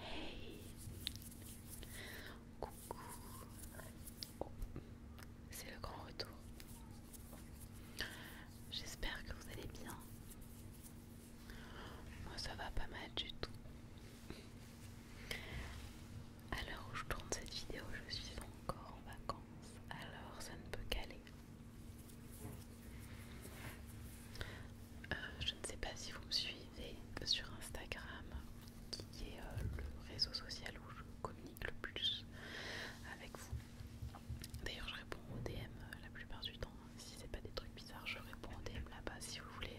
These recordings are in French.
Hey Coucou C'est le grand retour. J'espère que vous allez bien. Moi ça va pas mal du tout. A l'heure où je tourne cette vidéo, je suis encore en vacances, alors ça ne peut qu'aller. Euh, je ne sais pas si vous me suivez sur Instagram, qui est euh, le réseau social où je communique le plus avec vous. D'ailleurs, je réponds aux DM euh, la plupart du temps. Si c'est pas des trucs bizarres, je réponds aux DM là-bas. Si vous voulez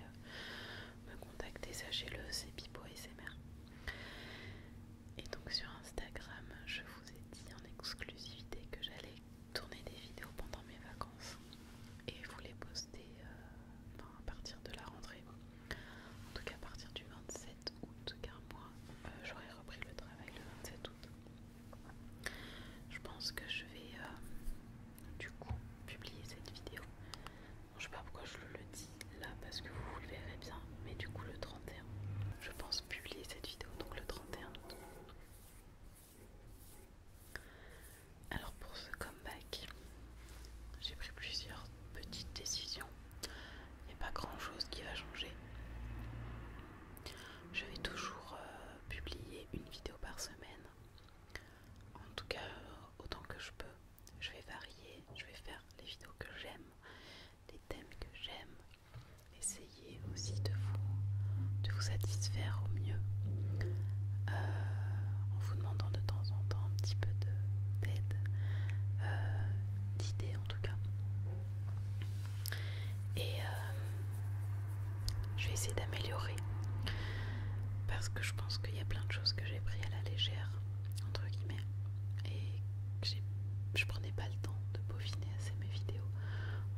me contacter, sachez-le, c'est Pipo mer. Et donc sur Instagram, je vous ai dit en exclusivité que j'allais tourner des vidéos pendant mes vacances et vous les poster euh, à partir de la rentrée. En tout cas, à partir du 27 août, car moi, j'aurai j'aurais repris le travail le 27 août. Je pense que je vais euh, du coup publier cette vidéo. je sais pas pourquoi je le dis là parce que vous le verrez bien, mais du coup le 31, je pense publier cette vidéo donc le 31 août. Alors pour ce comeback, j'ai pris plusieurs petites décisions. Il n'y a pas grand chose qui va changer. Je vais toujours euh, publier une vidéo par semaine. En tout cas, euh, autant que je peux. Je vais varier, je vais faire les vidéos que j'aime, les thèmes que j'aime, essayer aussi de vous, de vous satisfaire au mieux euh, en vous demandant de temps en temps un petit peu d'aide, euh, d'idées en tout cas. Et euh, je vais essayer d'améliorer parce que je pense qu'il y a plein de choses que j'ai pris à la légère, entre guillemets, et que je prenais pas le temps de peaufiner assez mes vidéos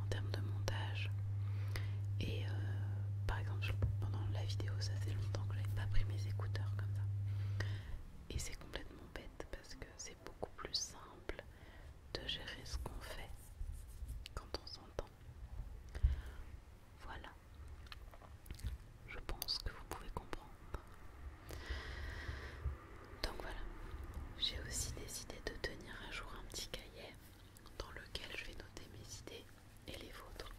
en termes de montage et euh, par exemple, pendant la vidéo, ça fait longtemps que je pas pris mes écouteurs comme ça. Et c'est complètement bête parce que c'est beaucoup plus simple de gérer ce qu'on fait quand on s'entend. Voilà. Je pense que vous pouvez comprendre. Donc voilà. J'ai aussi décidé de tenir à jour un petit cahier dans lequel je vais noter mes idées et les vôtres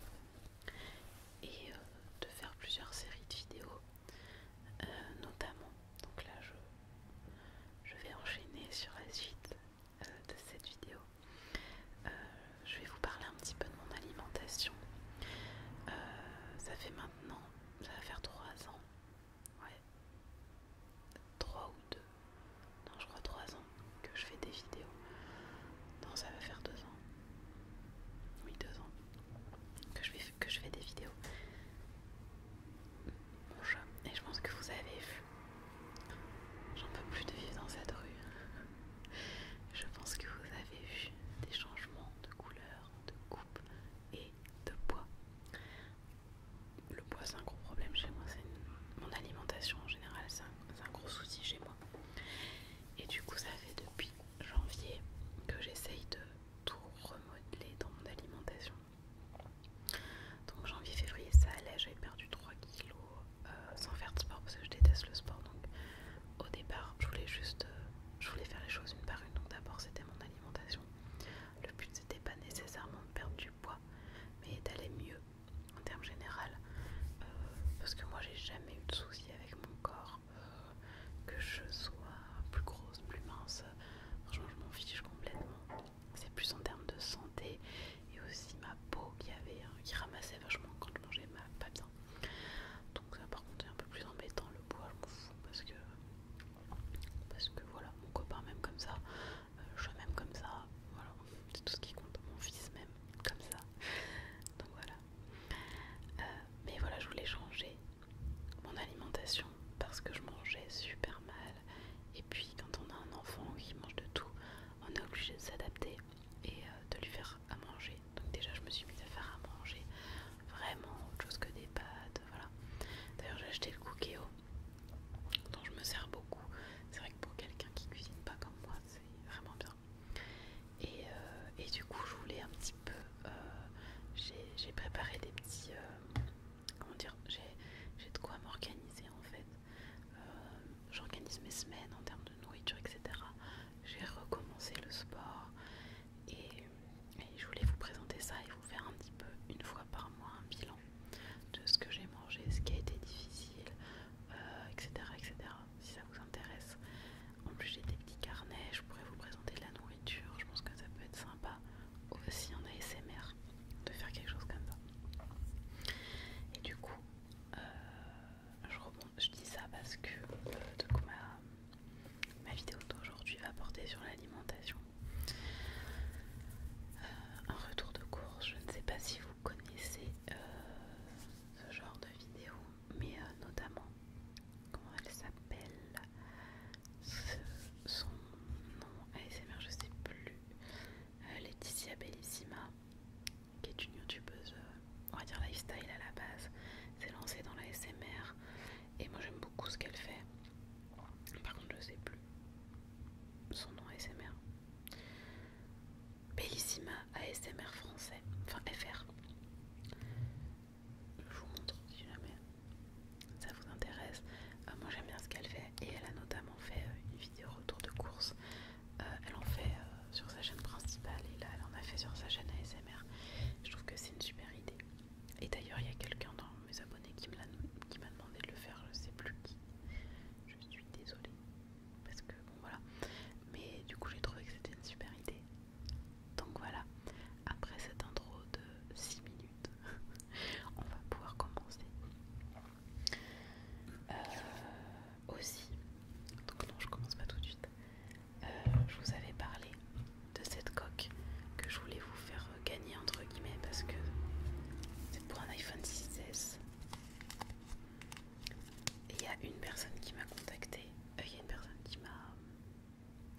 et euh, de faire plusieurs séries de vidéos euh, notamment donc là je, je vais enchaîner sur la suite euh, de cette vidéo je vais vous parler un petit peu de mon alimentation ça fait maintenant ça va faire 3 ans ouais 3 ou 2, non je crois 3 ans que je fais des vidéos. Non ça va faire 2 ans. Oui 2 ans que je, fais, que je fais des vidéos. bonjour, Et je pense que vous avez vu. J'en peux plus de vivre dans cette rue. Je pense que vous avez vu des changements de couleur, de coupe et de poids le poids c'est un gros problème chez moi, c'est mon alimentation en général, c'est un, gros souci chez moi. Et du coup ça fait depuis janvier que j'essaye de tout remodeler dans mon alimentation. Donc janvier, février ça allait, j'avais perdu 3 kilos euh, sans faire de sport parce que je déteste le sport. Donc au départ je voulais juste euh, je voulais faire les choses une par une. Donc d'abord c'était mon alimentation. Le but c'était pas nécessairement de perdre du poids bois, mais d'aller mieux en termes général. Euh, parce que moi j'ai jamais eu de soucis avec mon corps, euh, que je sois plus grosse, plus mince, franchement je m'en fiche complètement. C'est plus en termes de santé et aussi ma peau qui avait, hein, qui ramassait vachement quand je mangeais mal, pas bien. Donc ça par contre c'est un peu plus embêtant le bois je m'en fous parce que parce que voilà mon copain même comme ça euh, je je même comme ça, voilà, c'est tout ce qui compte, mon fils même, comme ça, donc voilà. Euh, mais voilà, je voulais changer mon alimentation parce que je mangeais super mal, et puis quand on a un enfant qui mange de tout, on est obligé de s'adapter et euh, de lui faire à manger. Donc déjà, je me suis mise à faire à manger vraiment autre chose que des pâtes, voilà. D'ailleurs, j'ai acheté le cookéo dont je me sers beaucoup. C'est vrai que pour quelqu'un qui cuisine pas comme moi, c'est vraiment bien. Et, euh, du coup, je voulais un petit peu. Euh, j'ai préparé des petits. Euh, comment dire J'ai de quoi m'organiser en fait. J'organise mes semaines en termes de nourriture, etc. J'ai recommencé le sport et je voulais vous présenter ça et vous faire un petit peu une fois par mois un bilan de ce que j'ai mangé, ce qui a été difficile, etc., euh, etc. Si ça vous intéresse. En plus j'ai des petits carnets, je pourrais vous présenter de la nourriture, je pense que ça peut être sympa aussi en ASMR de faire quelque chose comme ça. Et du coup, euh, je, dis ça parce que euh, ma vidéo d'aujourd'hui va porter sur l'alimentation un retour de course, je ne sais pas si vous connaissez euh, ce genre de vidéo, mais euh, notamment, comment elle s'appelle Son nom ASMR, je ne sais plus, euh, Laetitia Bellissima, qui est une youtubeuse, on va dire lifestyle à la base, s'est lancée dans l'ASMR et moi j'aime beaucoup ce qu'elle fait. Par contre, je ne sais plus son nom ASMR. Bellissima ASMR français, enfin FR. Je vous montre si jamais ça vous intéresse. Euh, moi j'aime bien ce qu'elle fait et elle a notamment fait euh, une vidéo retour de course. Euh, elle en fait sur sa chaîne principale et là elle en a fait sur sa chaîne ASMR. Je trouve que c'est une super idée. Et d'ailleurs il y a quelqu'un dans mes abonnés qui m'a demandé de le faire, je sais plus qui. Je suis désolée. Parce que voilà. Mais du coup j'ai trouvé que c'était une super idée. Donc voilà. Après cette intro de 6 minutes, on va pouvoir commencer. Euh, aussi, donc non je commence pas tout de suite. Euh, je vous avais parlé de cette coque que je voulais vous faire euh, gagner entre guillemets parce que c'est pour un iPhone 6S. Et il y a une personne qui m'a contacté. Euh, il y a une personne qui m'a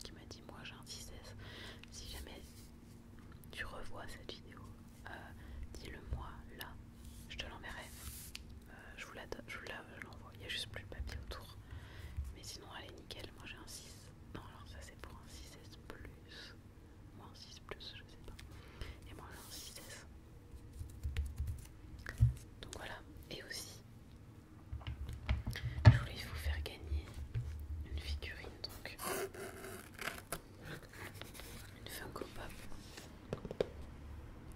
qui m'a dit moi j'ai un 6S. Si jamais tu revois cette vidéo, euh, dis-le moi là. Je te l'enverrai. je vous l'envoie. Il n'y a juste plus de papier autour. Mais sinon elle est nickel. Moi j'ai un 6. Non alors ça c'est pour un 6S plus. Moins 6 plus, je sais pas. Et moi en 6 S. Donc voilà. Et aussi, je voulais vous faire gagner une figurine donc. Une fin Funko Pop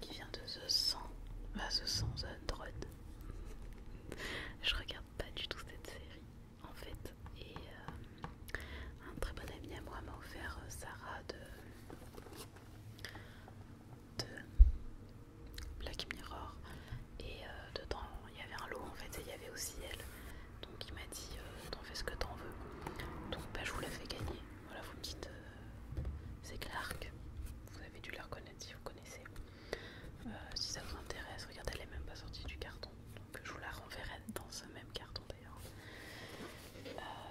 qui vient de The 100, The 100, The Drone. Je regarde pas du tout cette série en fait. Et euh, un très bon ami à moi m'a offert euh, Sarah de, Black Mirror. Et euh, dedans il y avait un lot en fait, et il y avait aussi elle. Donc il m'a dit euh, t'en fais ce que t'en veux. Donc bah, je vous la fais gagner. Voilà, vous me dites c'est euh, Clark. Vous avez dû la reconnaître si vous connaissez. Euh, si ça vous intéresse, regardez, elle est même pas sortie du carton. Donc je vous la renverrai dans ce même carton d'ailleurs.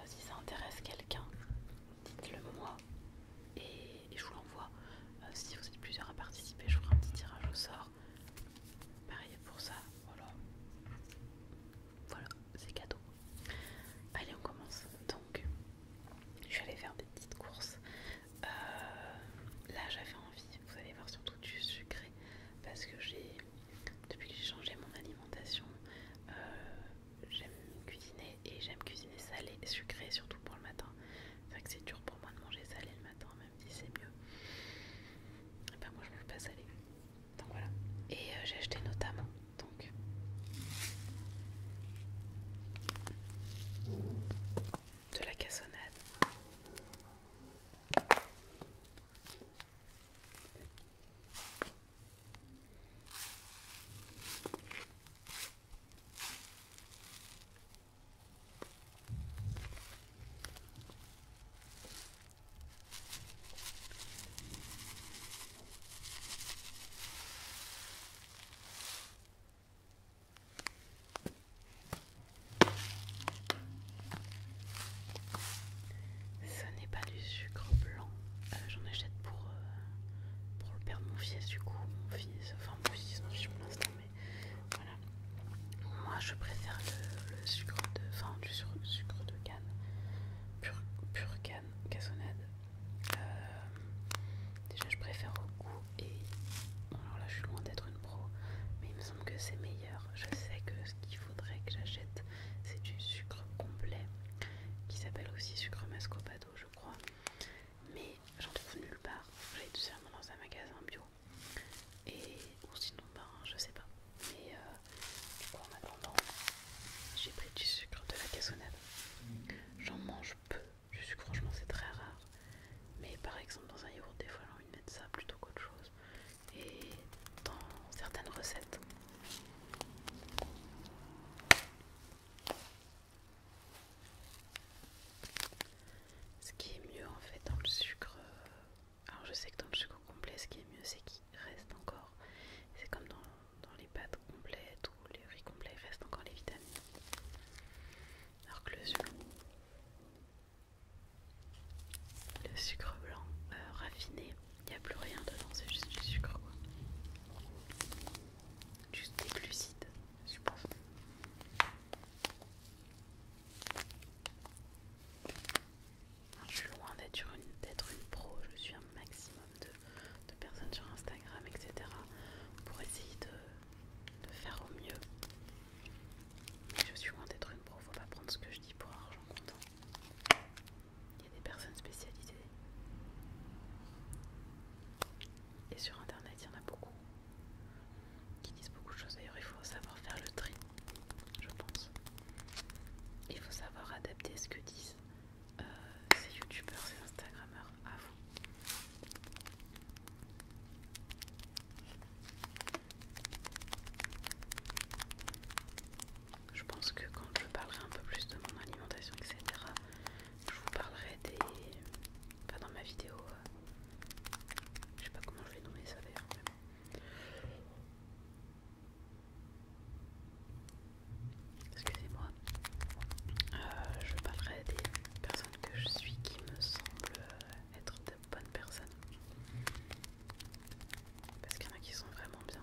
si ça intéresse quelqu'un, dites-le moi et, je vous l'envoie. si vous êtes plusieurs à participer, je ferai un petit tirage au sort. Pareil pour ça, voilà. Voilà, c'est cadeau. Allez, on commence. Donc, je suis allée faire des petites courses. Euh, là, j'avais envie, vous allez voir, surtout du sucré. Parce que j'ai, depuis que j'ai changé mon alimentation, euh, j'aime cuisiner et j'aime cuisiner salé, sucré, surtout pour le matin. C'est que c'est dur pour moi de manger salé le matin, c'est mieux. ben moi je veux pas aller. Donc voilà. Et euh, j'ai acheté notamment donc de la cassonade. Ce n'est pas du sucre blanc, euh, j'en achète pour, euh, pour le père de mon fils, du coup, mon fils, enfin mon fils, mon fils pour l'instant. Moi je préfère le, sucre de. sucre, de canne. pur canne, cassonade. Euh, déjà, je préfère au goût et. alors là, je suis loin d'être une pro, mais il me semble que c'est meilleur. Je sais que ce qu'il faudrait que j'achète, c'est du sucre complet qui s'appelle aussi sucre mascopado, je crois. Mais j'en trouve nulle part. J'ai tout seulement dans un magasin bio et ou sinon ben, je sais pas mais euh, du coup en attendant j'ai pris du sucre de la cassonade j'en mange peu du sucre franchement c'est très rare mais par exemple dans un yaourt des fois j'ai envie de mettre ça plutôt qu'autre chose et dans certaines recettes ce qui est mieux en fait dans le sucre euh, alors je sais que dans le sucre complet, ce qui est mieux, c'est qu'il reste encore. C'est comme dans, les pâtes complètes ou les riz complets, il reste encore les vitamines. Alors que le sucre, le sucre blanc euh, raffiné, il n'y a plus rien dedans, c'est juste du sucre quoi. Juste des glucides, je je suis loin d'être une, pro, je suis un maximum de, personnes sur Instagram, etc. pour essayer de, faire au mieux. Mais je suis loin d'être une pro, faut pas prendre ce que je dis pour argent comptant. Il y a des personnes spécialisées. Et sur internet, il y en a beaucoup qui disent beaucoup de choses. D'ailleurs, il faut savoir faire le tri, je pense. Il faut savoir adapter ce que disent euh, ces youtubeurs, ces instagrammeurs à vous. Je pense que quand je parlerai un peu plus de mon alimentation, etc., je vous parlerai des. pas dans ma vidéo euh, je sais pas comment je vais nommer ça d'ailleurs. Excusez-moi. Euh, je parlerai des personnes que je suis qui me semblent euh, être de bonnes personnes. Parce qu'il y en a qui sont vraiment bien.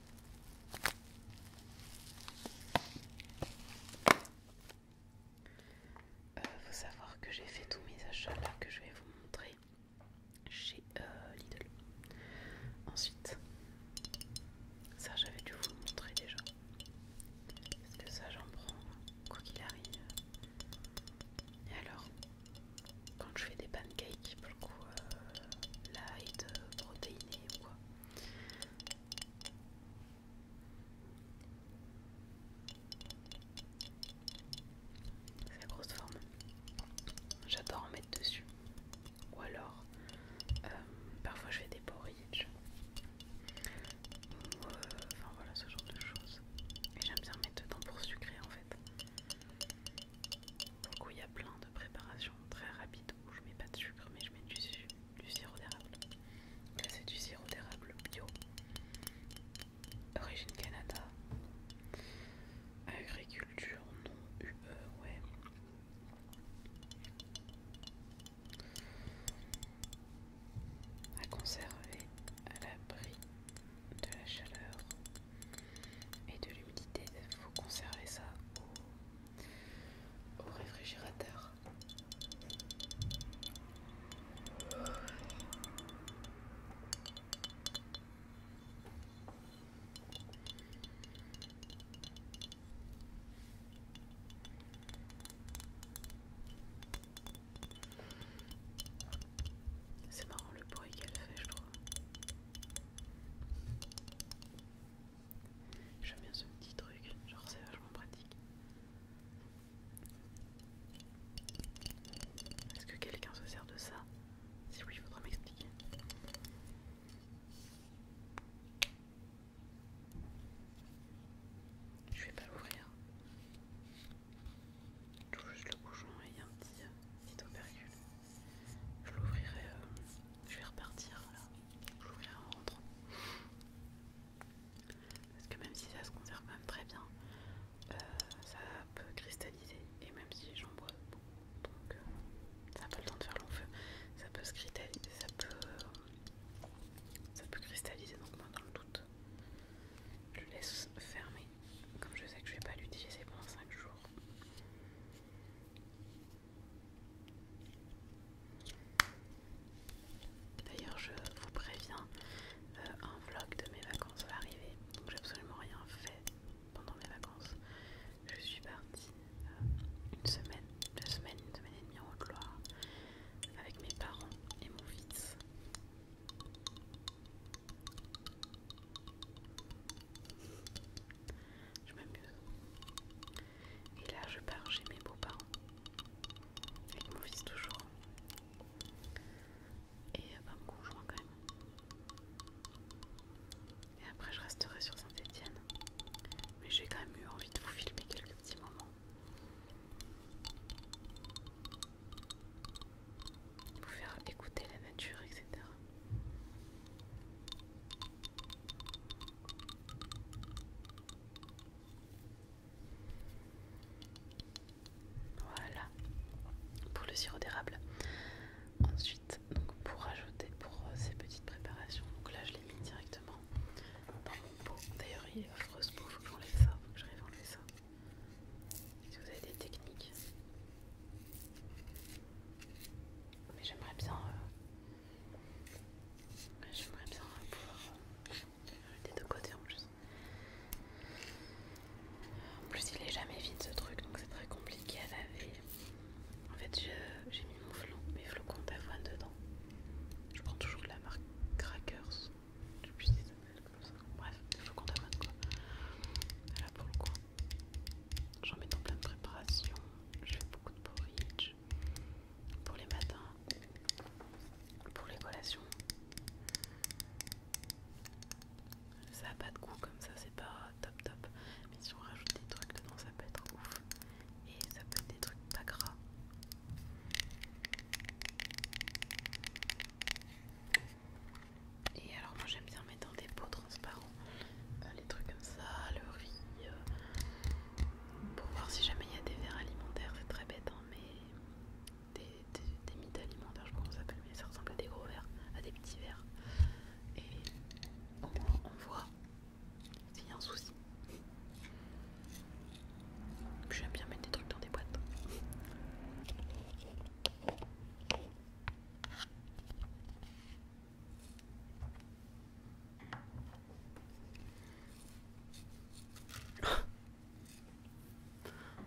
Il euh, faut savoir que j'ai fait tous mes achats là que je vais vous montrer chez euh, Lidl. Ensuite, ça j'avais dû vous le montrer déjà. Parce que ça j'en prends quoi qu'il arrive. Et alors, quand je fais des pancakes pour le coup euh, light, euh, ou quoi. C'est la grosse forme. J'adore en mettre dessus. Ou alors, euh, parfois je fais des porridge. Ou, enfin voilà ce genre de choses. Et j'aime bien mettre dedans pour sucrer en fait. Du coup, il y a plein de préparations très rapides où je mets pas de sucre mais je mets du, sirop d'érable. Là c'est du sirop d'érable bio, origine Canada, agriculture non UE, ouais. À conserver à l'abri de la chaleur et de l'humidité. Il faut conserver ça au, réfrigérateur. C'est marrant le bruit qu'elle fait, je crois. J'aime bien ce petit truc, genre c'est vachement pratique. Est-ce que quelqu'un se sert de ça Si oui, il faudra m'expliquer. Je vais pas l'ouvrir. Tout juste le bouchon et il y a un petit, euh, petit je l'ouvrirai. Euh, je vais repartir Je l'ouvrirai en rentrant. Parce que même si ça se conserve même très bien, euh, ça peut cristalliser. Et même si j'en bois beaucoup, donc euh, ça n'a pas le temps de faire long feu, ça peut cristalliser. Ça ça peut cristalliser. Donc, moi, dans le doute, je laisse fermer. Comme je sais que je vais pas l'utiliser pendant 5 jours, D'ailleurs, je vous préviens, euh, un vlog de mes vacances va arriver. Donc, j'ai absolument rien fait pendant mes vacances. Je suis partie euh, une semaine, deux semaines, une semaine et demie en Haute-Loire avec mes parents et mon fils. Je m'amuse. Et là, je pars chez mes beaux-parents. Avec mon fils toujours. Et pas euh, bah, mon conjoint quand même. Et après, je resterai sur Saint-Etienne. Mais j'ai quand même eu envie de vous filmer quelques petits moments vous faire écouter la nature, etc. Voilà pour le sirop d'érable. Ensuite, donc pour ajouter pour euh, ces petites préparations, donc là je l'ai mis directement dans mon pot. D'ailleurs, il est ce pot, faut que j'enlève ça, faut que enlever ça. Si vous avez des techniques, mais j'aimerais bien, euh, j'aimerais bien pouvoir j'ai euh, des deux côtés en plus. En plus, il est jamais vide ce truc, donc c'est très compliqué à laver. En fait, j'ai mis mes flocons d'avoine dedans. Je prends toujours de la marque Crackers. Je sais plus si comme ça. Bref, des flocons d'avoine quoi. Là pour le coup. J'en mets dans plein de préparations. Je fais beaucoup de porridge pour les matins, pour les collations. Ça n'a pas de goût comme ça, c'est pas top top. Mais si on rajoute des trucs dedans, ça peut être ouf. Et ça peut être des trucs pas gras. Et alors moi j'aime bien mettre dans des pots transparents euh, les trucs comme ça, le riz, euh, pour voir si jamais il y a des verres alimentaires, c'est très bête, hein, mais des, mites mythes alimentaires, je sais pas ça s'appelle, mais ça ressemble à des gros verres, à des petits verres. Et on voit s'il y a un souci. J'aime bien mettre des trucs dans des boîtes.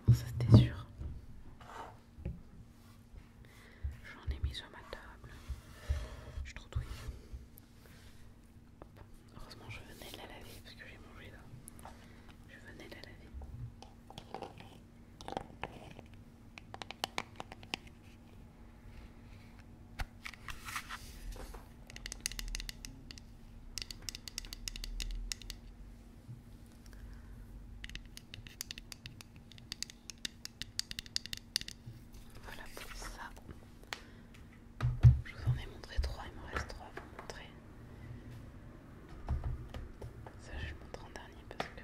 Oh, ça c'était sûr. J'en ai mis sur ma table. Je suis trop douée. Heureusement, je venais de la laver parce que j'ai mangé là. Je venais de la laver. Voilà pour ça. Je vous en ai montré trois, il me reste trois à vous montrer. Ça, je le montre en dernier parce que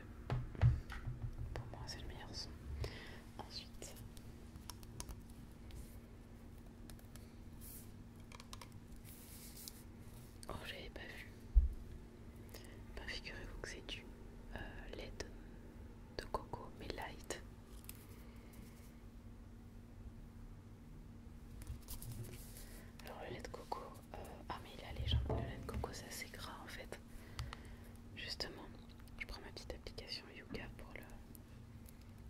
pour moi, c'est le meilleur son. Ensuite, oh, j'avais pas vu. Bah, figurez-vous que c'est du euh, LED de coco, mais light. Alors, le lait de coco, euh, ah mais il a les jambes de laine de coco, ça assez gras en fait. Justement, je prends ma petite application Yuka pour le...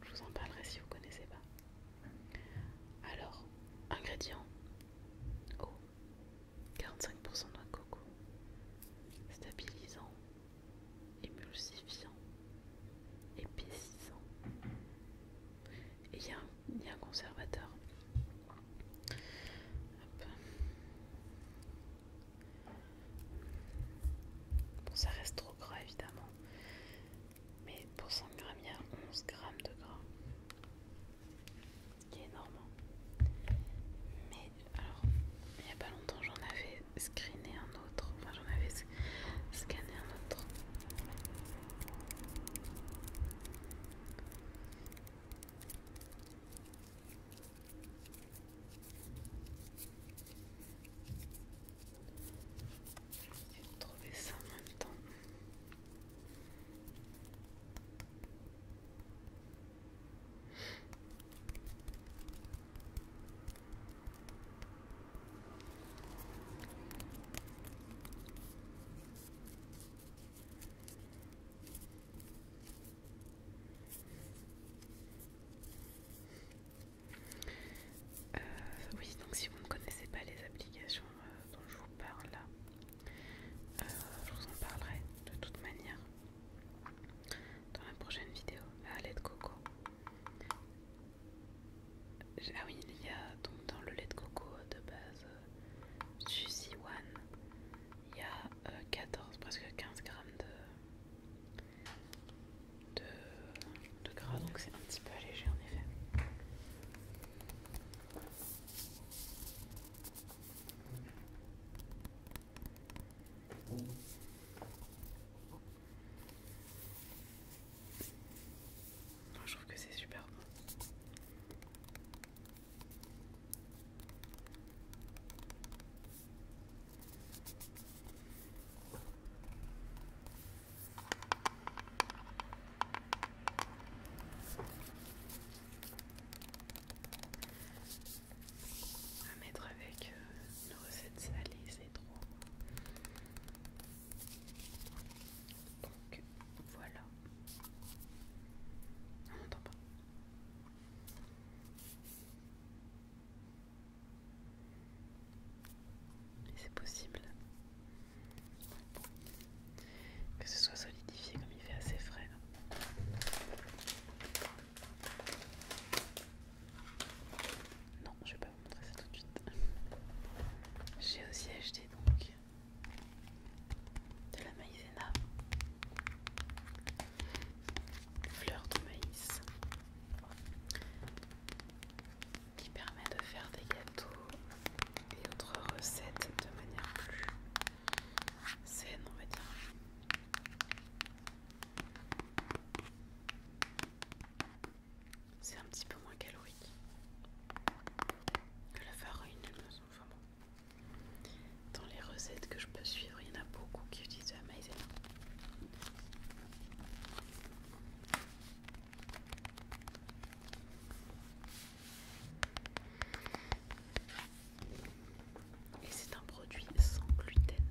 Je vous en parlerai si vous connaissez pas. Alors, ingrédients. Eau. 45% de noix de coco. Stabilisant. Émulsifiant. Épaississant. Et il y, a un conservateur. Bon, ça reste trop gras évidemment. Mais pour 100 grammes, il y a 11 grammes de gras. Qui est énorme. Hein. Mais alors, il n'y a pas longtemps, j'en avais screené un autre. Enfin, j'en avais scanné un autre. Je vais trouver ça en même temps. Euh, oui, donc si vous ne connaissez pas les applications euh, dont je vous parle là, euh, je vous en parlerai de toute manière dans la prochaine vidéo. Le ah, lait de coco. Ah oui, il y a donc dans le lait de coco de base Juicy One, il y a 14, euh, presque 15 grammes de, de, de gras, donc c'est un petit peu allégé en effet. Je trouve que c'est super bon. À mettre avec euh, nos recettes salées, c'est trop. Donc voilà. On n'entend pas. c'est possible que ce soit solidifié comme il fait assez frais. Non, je vais pas vous montrer ça tout de suite. J'ai aussi acheté donc de la maïzena, fleur de maïs, qui permet de faire des gâteaux et autres recettes de manière plus saine, en va C'est un petit peu moins calorique que la farine, de dans les recettes que je peux suivre, il y en a beaucoup qui utilisent la maïzena. Et c'est un produit sans gluten.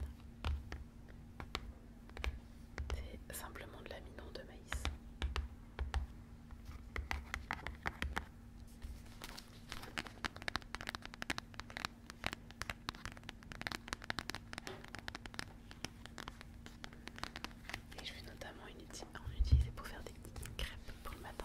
C'est simplement de l'amidon de maïs. Et je vais notamment en utiliser pour faire des crêpes pour le matin.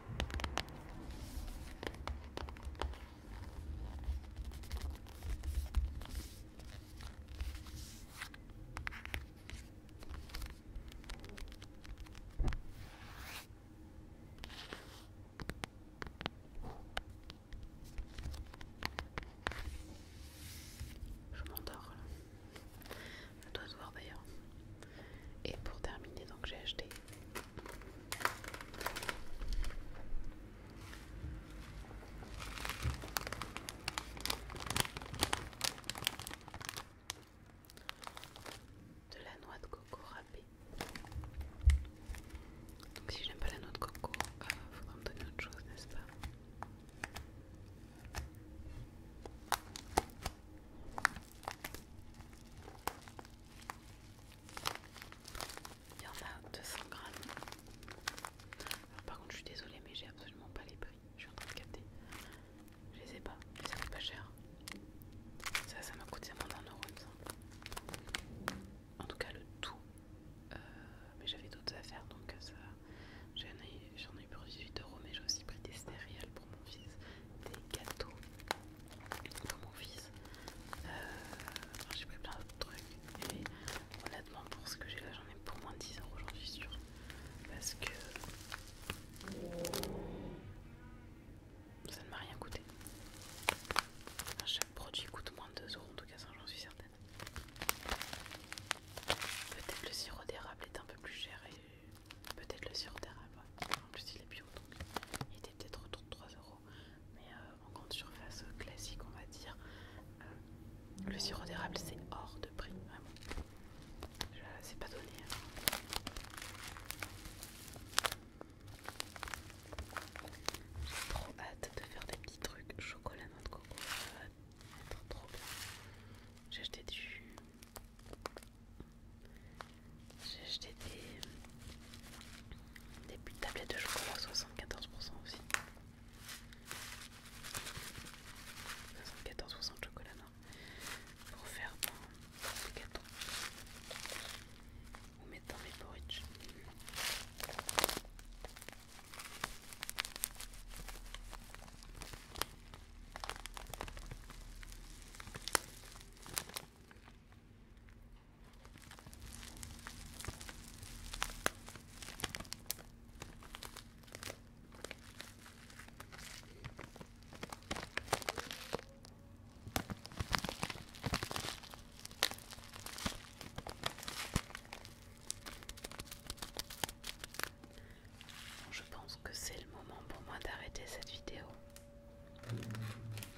Je m'endors Je dois te voir d'ailleurs. Et pour terminer, donc j'ai acheté de la noix de coco râpée. Donc si j'aime pas la noix de coco, il euh, faudra me donner autre chose, n'est-ce pas il y en a 200 grammes. par contre, je suis désolée, mais j'ai absolument pas les prix. Je suis en train de capter. Je les ai pas, mais ça coûte pas cher. Ça, ça m'a coûté moins d'un euro, En tout cas, le tout. Euh, mais j'avais d'autres affaires, donc euh, ça. J'en ai, ai eu pour 18 euros, mais j'ai aussi pris des céréales pour mon fils, des gâteaux pour mon fils. Euh, j'ai pris plein d'autres trucs, et honnêtement, pour ce que j'ai là, j'en ai pour moins de 10 euros, j'en suis sûre. Parce que ça ne m'a rien coûté. chaque produit coûte moins de 2 euros, en tout cas, ça j'en suis certaine. Peut-être le sirop d'érable est un peu plus cher et peut-être le sirop d'érable. En plus, il est bio donc il était peut-être autour de 3€ Mais euh, en grande surface classique, on va dire, euh, le sirop d'érable c'est hors de prix, vraiment. Je... C'est pas donné. Hein. J'ai trop hâte de faire des petits trucs chocolat noix de coco. Ça va être trop bien. J'ai acheté du j'ai acheté des, des tablettes de chocolat 74% aussi. 74% de chocolat non. pour faire dans des gâteaux ou mettre dans mes porridge. Je pense que c'est le moment pour moi d'arrêter cette vidéo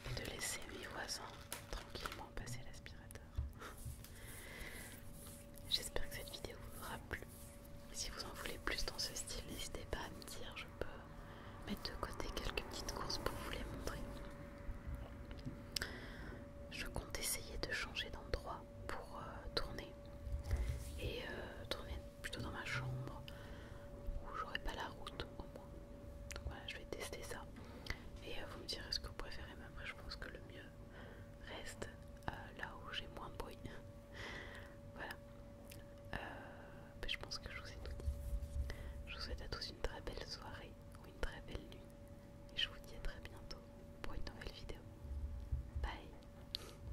et de laisser mes voisins tranquillement passer l'aspirateur. J'espère que cette vidéo vous aura plu. si vous en voulez plus dans ce style, n'hésitez pas à me dire, je peux mettre de côté quelques petites courses pour vous les montrer. Je compte essayer de changer d'endroit pour euh, tourner et euh, tourner plutôt dans ma chambre où j'aurai pas la route au moins. Donc voilà, je vais tester ça. Et euh, vous me direz ce que vous préférez, mais après je pense que le mieux reste euh, là où j'ai moins de bruit. voilà. Mais euh, ben, je pense que je vous ai tout dit. Je vous souhaite à tous une très belle soirée ou une très belle nuit. Et je vous dis à très bientôt pour une nouvelle vidéo. Bye